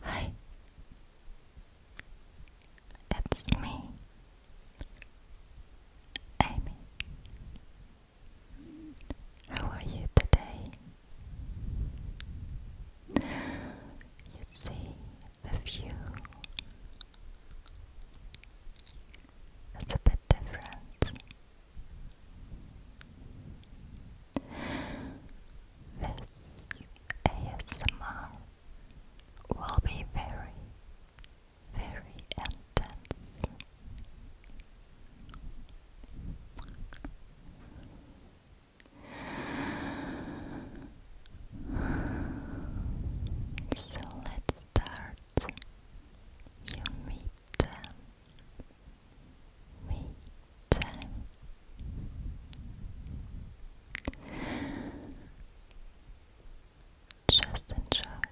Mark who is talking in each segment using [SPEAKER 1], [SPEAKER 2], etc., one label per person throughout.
[SPEAKER 1] Hi, it's me, Amy. How are you today? You see the view is a bit different. This ASMR will be very, very intense. So let's start. You meet them we just enjoy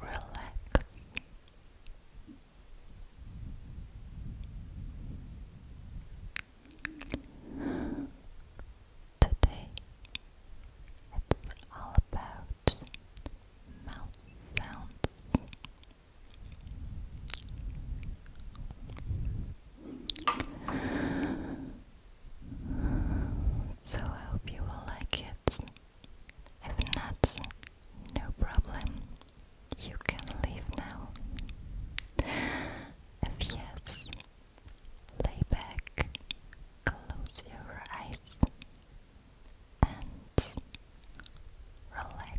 [SPEAKER 1] relax Today, it's all about so I hope you will like it. If not, no problem. You can leave now. If yes, lay back, close your eyes, and relax.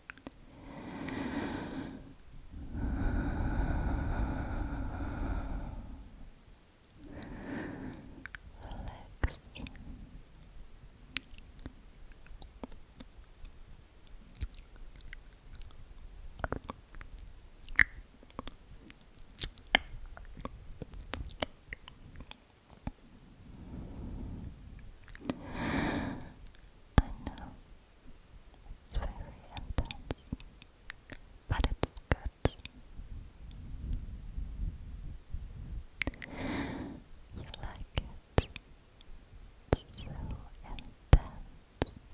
[SPEAKER 2] Relax. I know it's very intense, but it's good. You like it. so intense.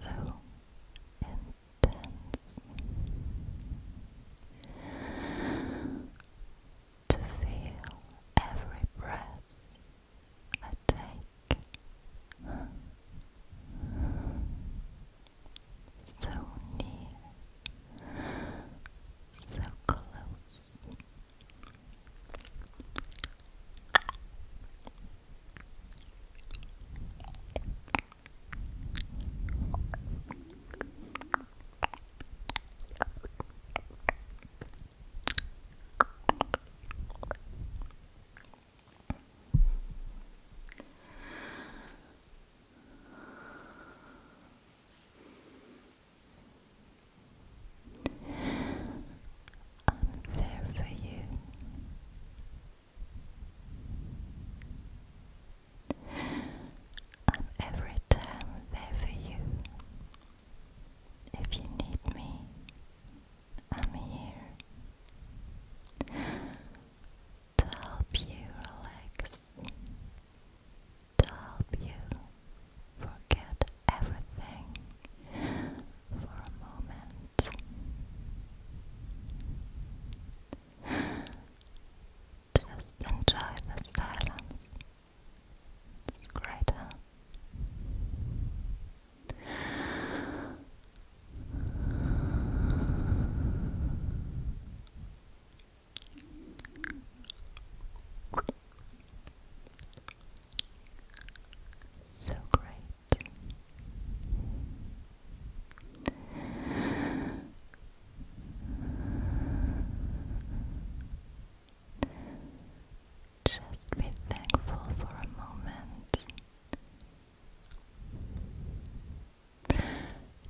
[SPEAKER 2] So intense. To feel every breath a take so near, so close. I'm
[SPEAKER 1] there for you. I'm every time there for you. If you need me, I'm here to help you relax, to help you forget everything for a moment. Just enjoy the silence Scratter so great. Just be thankful for a moment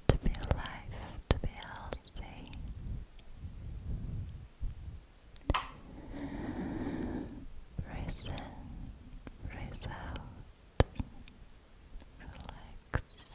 [SPEAKER 1] to be alive, to be healthy. Breathe in, breathe out, relax.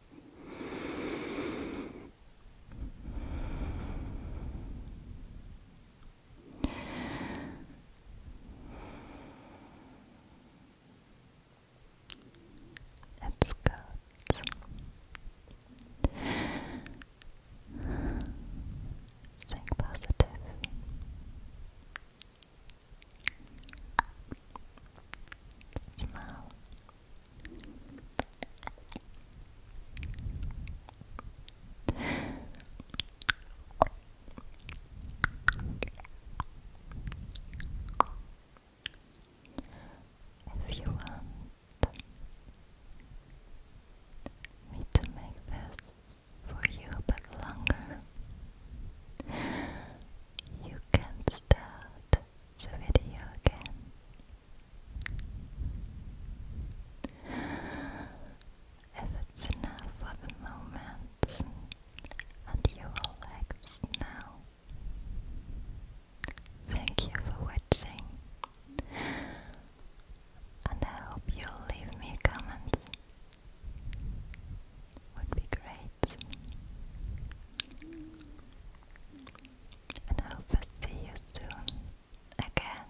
[SPEAKER 3] Let's Think positive. Smile. If you want me to make this for you a longer, you can start the video again. If it's enough for the moment and you relax now. Thank you for watching and I hope you'll leave me a comment. Would be great nights. And I hope i see you soon again.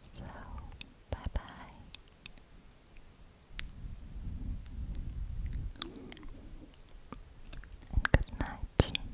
[SPEAKER 3] So, bye bye. And good night.